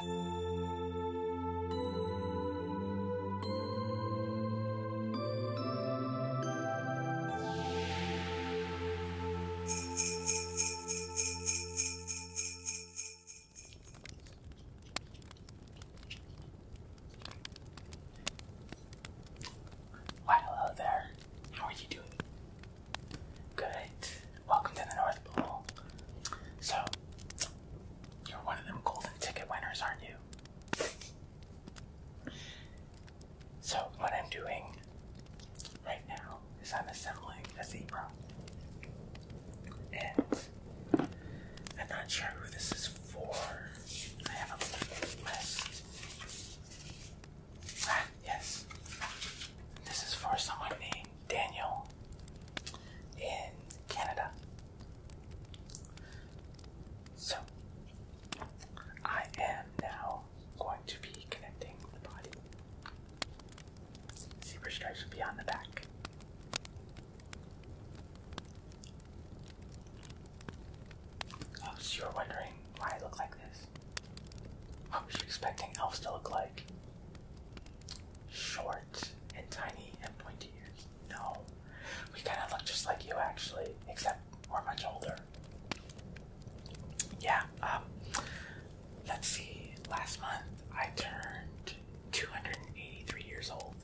Why, hello there. How are you doing? Good. Welcome to the North Pole. So, you're one of them golden ticket winners, aren't you? So, what I'm doing right now is I'm assembling a zebra. And I'm not sure who this is for. I have a list. Ah, yes. This is for someone named Daniel in Canada. So, I am now going to be connecting the body. Super stripes will be on the back. Oh, so you're wondering why I look like this? What was you expecting elves to look like? short and tiny and pointy ears. No, we kind of look just like you actually, except we're much older. Yeah, um, let's see. Last month I turned 283 years old.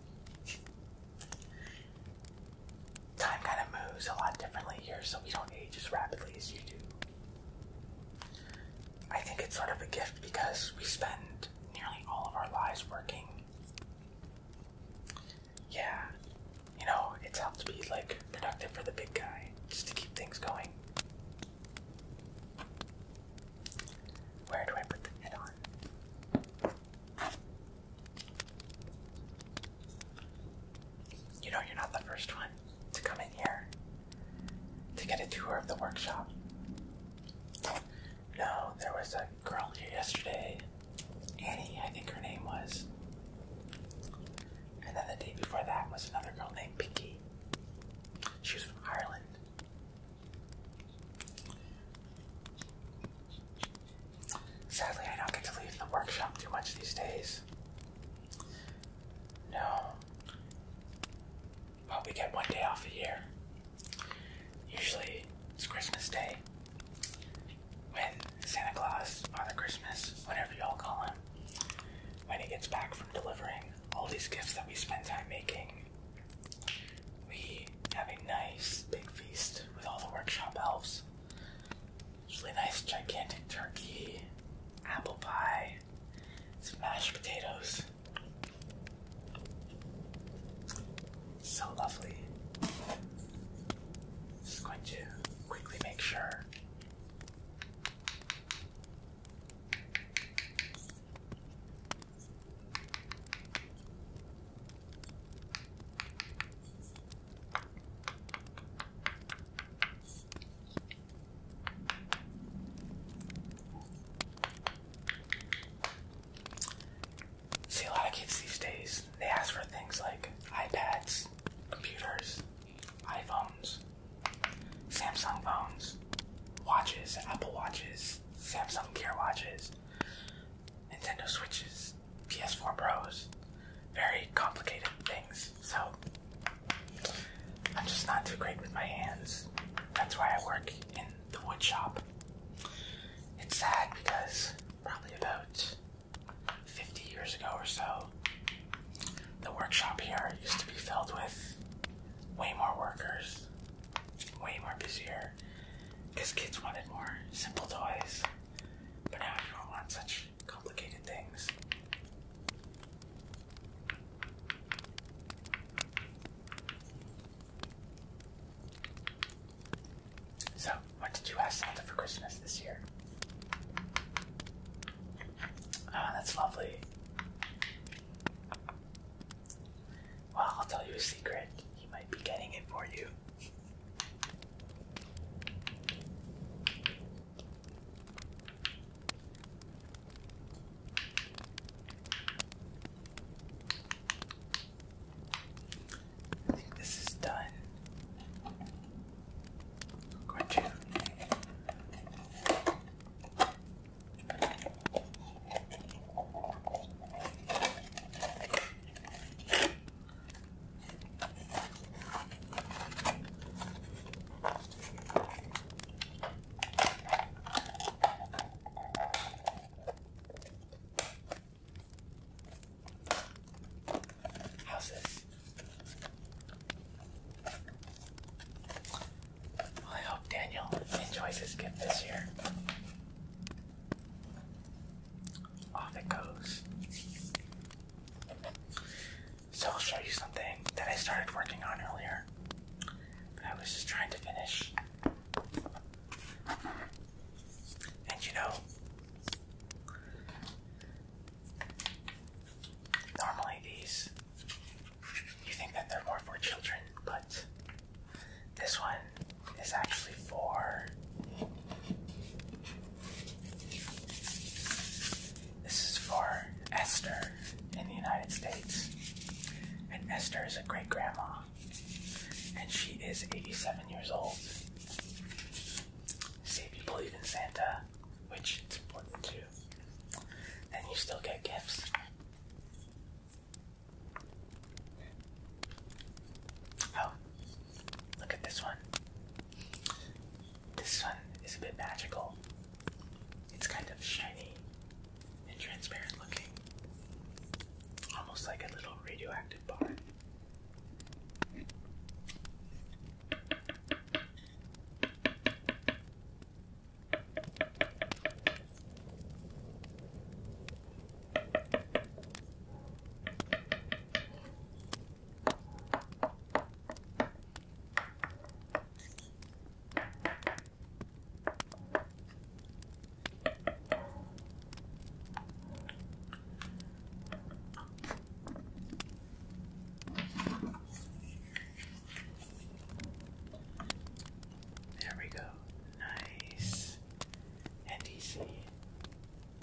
Time kind of moves a lot differently here, so we don't age as rapidly as you do. I think it's sort of a gift because we spend nearly all of our lives working. Yeah, you know, it's helped to be like productive for the big guy just to keep things going. Where do I put the head on? You know, you're not the first one to come in here to get a tour of the workshop. No, there was a girl here yesterday, Annie, I think her name was. And then the day before that was another girl named Pinky. She was from Ireland. Sadly, I don't get to leave the workshop too much these days. No. Well, we get one day off a year. Usually it's Christmas Day. When Santa Claus, Father Christmas, whatever y'all call him, when he gets back from delivering all these gifts that we spend time making, we have a nice big feast with all the workshop elves. Usually nice gigantic turkey, apple pie, some mashed potatoes. So lovely. Just going to quickly make sure. See, a lot of kids these days, they ask for things like iPads, computers, iPhones, Samsung phones, watches, Apple watches, Samsung Gear watches, Nintendo Switches, PS4 Pros, very complicated things. So I'm just not too great with my hands. That's why I work in the woodshop. It's sad because probably about 50 years ago or so, the workshop here used to be filled with way more workers, way more busier, because kids wanted more simple toys. But now everyone wants such complicated things. So, what did you ask Santa for Christmas this year? Oh, that's lovely. Well, I'll tell you a secret. He might be getting it for you. I think this is done. I'm How's this? I hope Daniel enjoys his gift this year. Off it goes. So I'll show you something that I started working on earlier, but I was just trying to finish. And you know, normally these, you think that they're more for children, but this one is actually for this is for Esther in the United States. And Esther is a great grandma. And she is 87 years old. See if you believe in Santa, which it's important too. and you still get gifts. Oh, look at this one. This one is a bit magical. It's kind of shiny and transparent looking. Almost like a little radioactive bar. There we go. Nice and easy.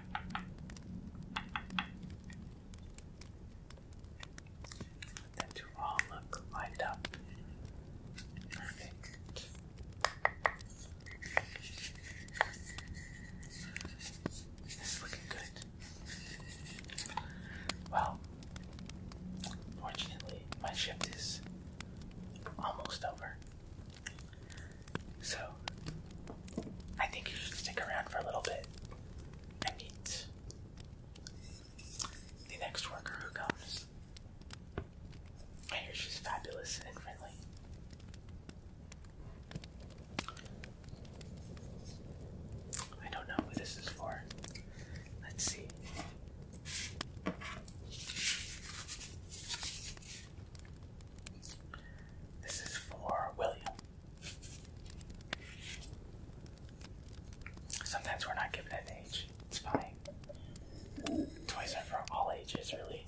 And all look lined up. Perfect. looking good. Well, fortunately, my shift is almost over. So, I think you should stick around for a little bit and meet the next worker who comes. I hear she's fabulous and friendly. I don't know what this is for. Let's see. This is for William. Sometimes we're not given an age. It's fine. Toys are for all ages, really.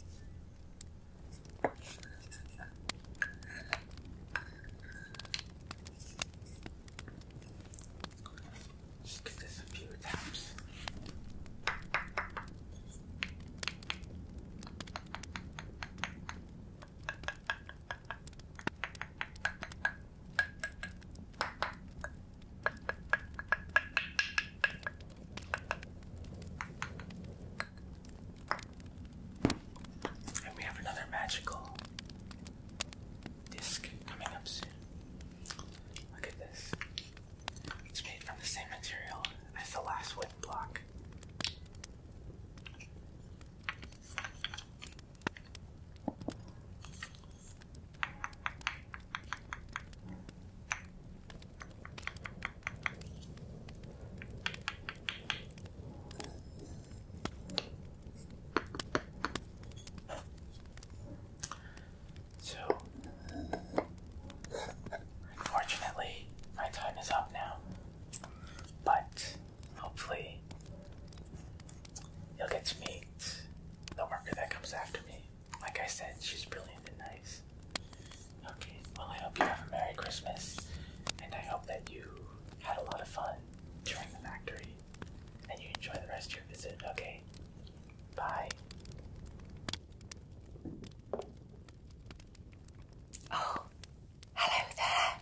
Just give this a few taps. And we have another magical disc coming up soon. Look at this. It's made from the same material as the last wooden block. So Unfortunately, my time is up now. But hopefully, you'll get to meet the worker that comes after me. Like I said, she's brilliant and nice. Okay, well, I hope you have a Merry Christmas, and I hope that you had a lot of fun during the factory and you enjoy the rest of your visit, okay? Bye. Oh, hello there.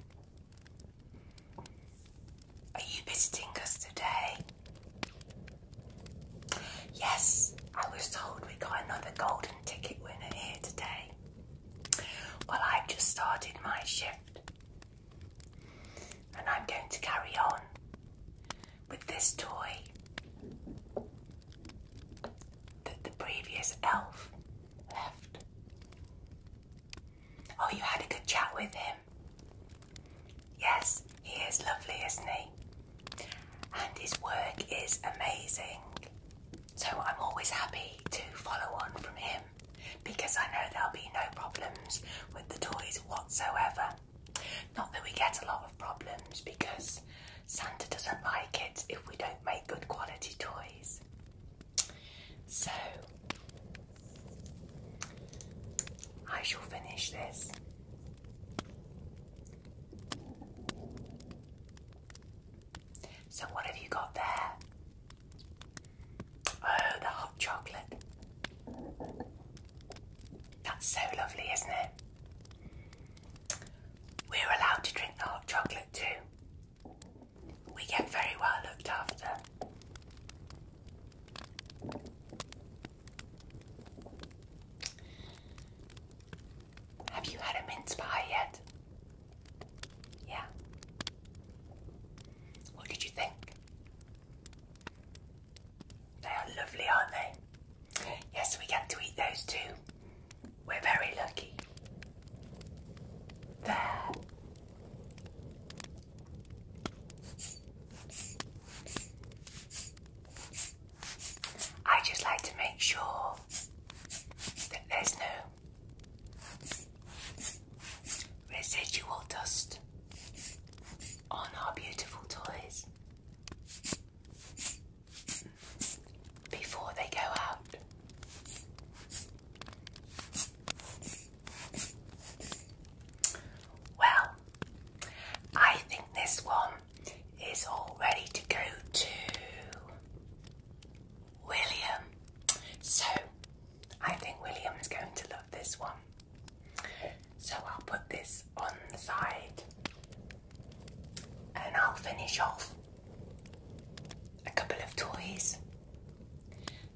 Are you visiting us today? Yes, I was told we got another golden ticket winner here today. Well, I've just started my shift and I'm going to carry on with this toy that the previous elf left. Oh, you had a good chat with him. Yes, he is lovely, isn't he? And his work is amazing. So I'm always happy to follow on from him because I know there'll be no problems with the toys whatsoever. Not that we get a lot of problems because Santa doesn't like it if we don't make good quality toys. So I shall finish this. So, what have you got there? Oh, the hot chocolate. That's so lovely, isn't it? We're allowed to drink the hot chocolate too. We get very well looked after. Have you had a mince pie yet? Yeah. What did you think? They are lovely, aren't they? Yes, we get to eat those too. We're very lucky. There. I just like to make sure that there's no residual dust on our beautiful toys before they go out. Well, I think this one is all ready to go to William. So I think William's going to love this one. So I'll put this on the side and I'll finish off a couple of toys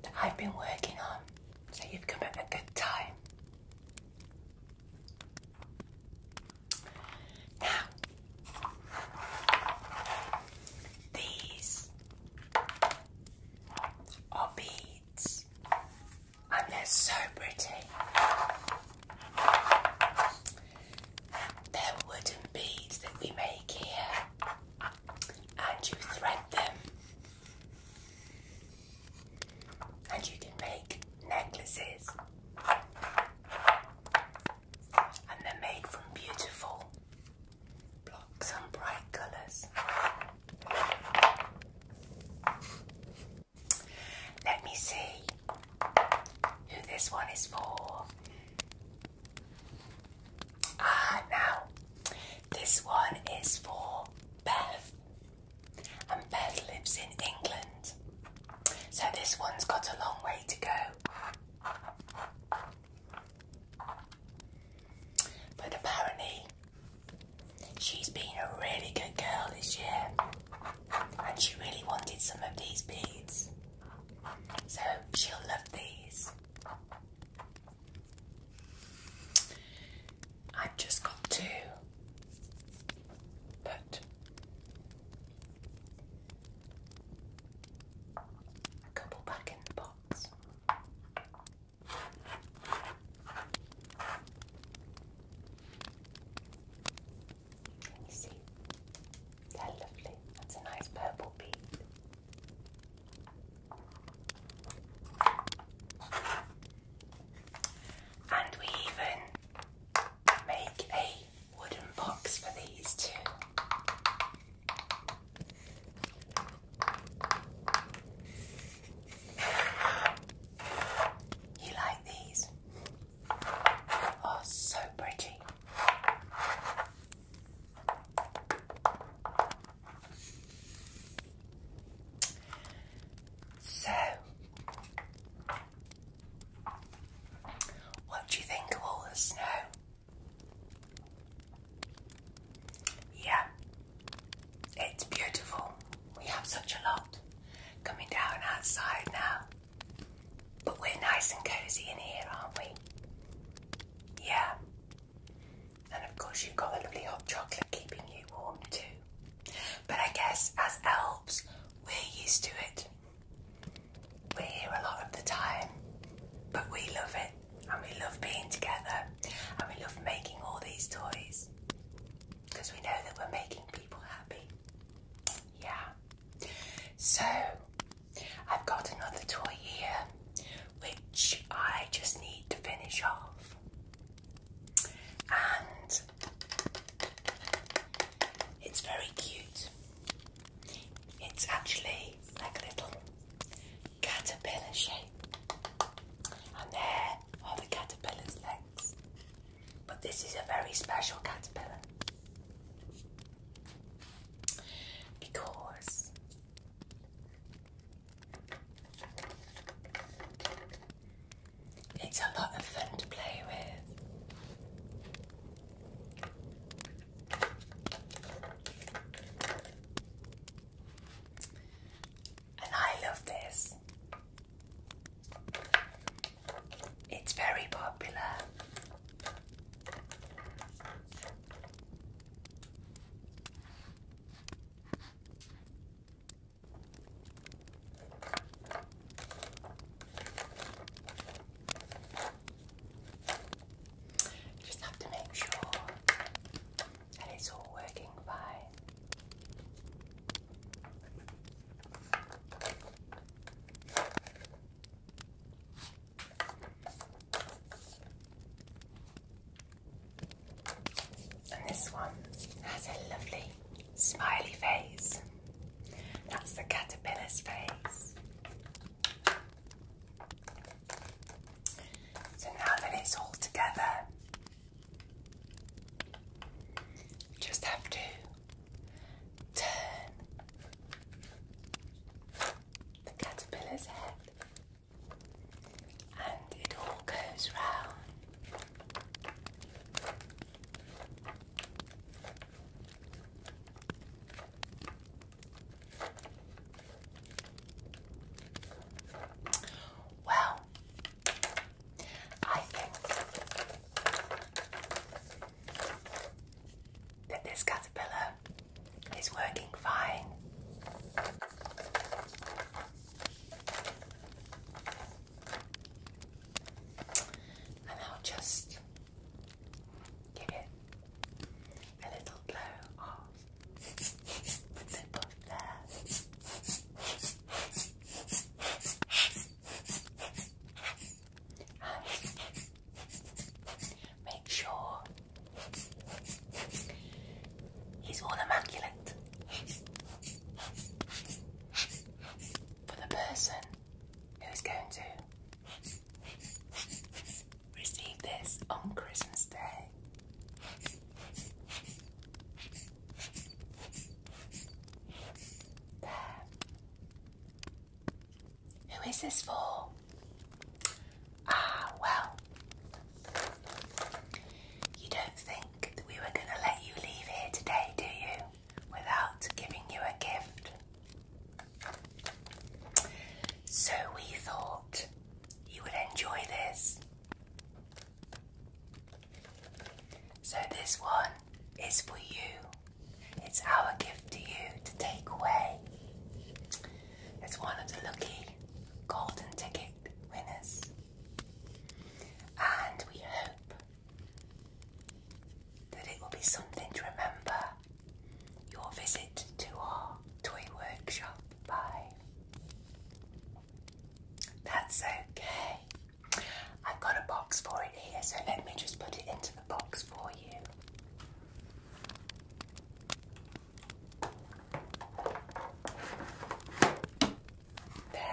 that I've been working on. So you've come at a good time. Now, these are beads and they're so pretty. They're wooden beads that we make here, and you thread them, and you can make necklaces, and they're made from beautiful blocks and bright colours. Let me see who this one is for. Ah, now this one is for Beth, and Beth lives in England, so this one's got a long way to go. But apparently, She's been a really good girl this year, and she really wanted some of these beads, so she'll love these. I've just got two, but a couple back in the box. Can you see? They're lovely. That's a nice purple bead. And we even make a wooden box for these too. You like these? Oh, so pretty. So, what do you think of all the snow? Yeah, it's beautiful. We have such a lot coming down outside now. But we're nice and cozy in here, aren't we? Yeah. And of course, you've got the lovely hot chocolate keeping you warm too. But I guess as elves, we're used to it. We're here a lot of the time, but we love it and we love being together and we love making all these toys because we know that we're making people happy. Yeah. So I've got another toy here which I just need to finish off. And it's very cute. It's actually like a little caterpillar shape. And there are the caterpillar's legs. But this is a very special caterpillar. Because it's a lot of fun to play with. And I love this. It's very popular. just have to make sure and it's all working fine. And this one has a lovely smiley face. That's the caterpillar's face. So now that it's all together, you just have to turn the caterpillar's head and it all goes round. Well, I think that this caterpillar is working fine. And I'll just you get a little blow off the bottle there. make sure he's all immaculate for the person who's going to just received this on Christmas Day. Who is this for? Ah, well, you don't think we were going to let you leave here today, do you, without giving you a gift? So we thought you would enjoy this. So this one is for you. It's our gift to you to take away. It's one of the lucky golden ticket winners. And we hope that it will be something to remember your visit to our toy workshop by. That's okay. I've got a box for it here, so let me just put it into the box for you. There.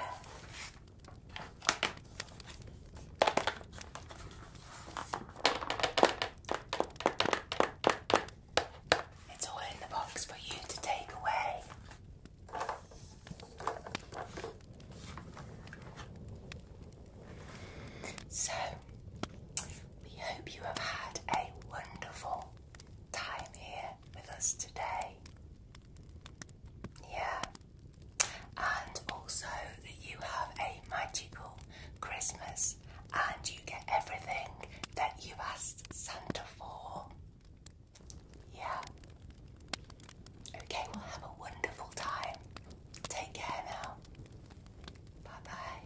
It's all in the box for you to take away. So, we hope you have had a wonderful time here with us today. Yeah, and also that you have a magical Christmas and you get everything that you asked Santa for. Yeah. Okay, well, have a wonderful time. Take care now. Bye bye.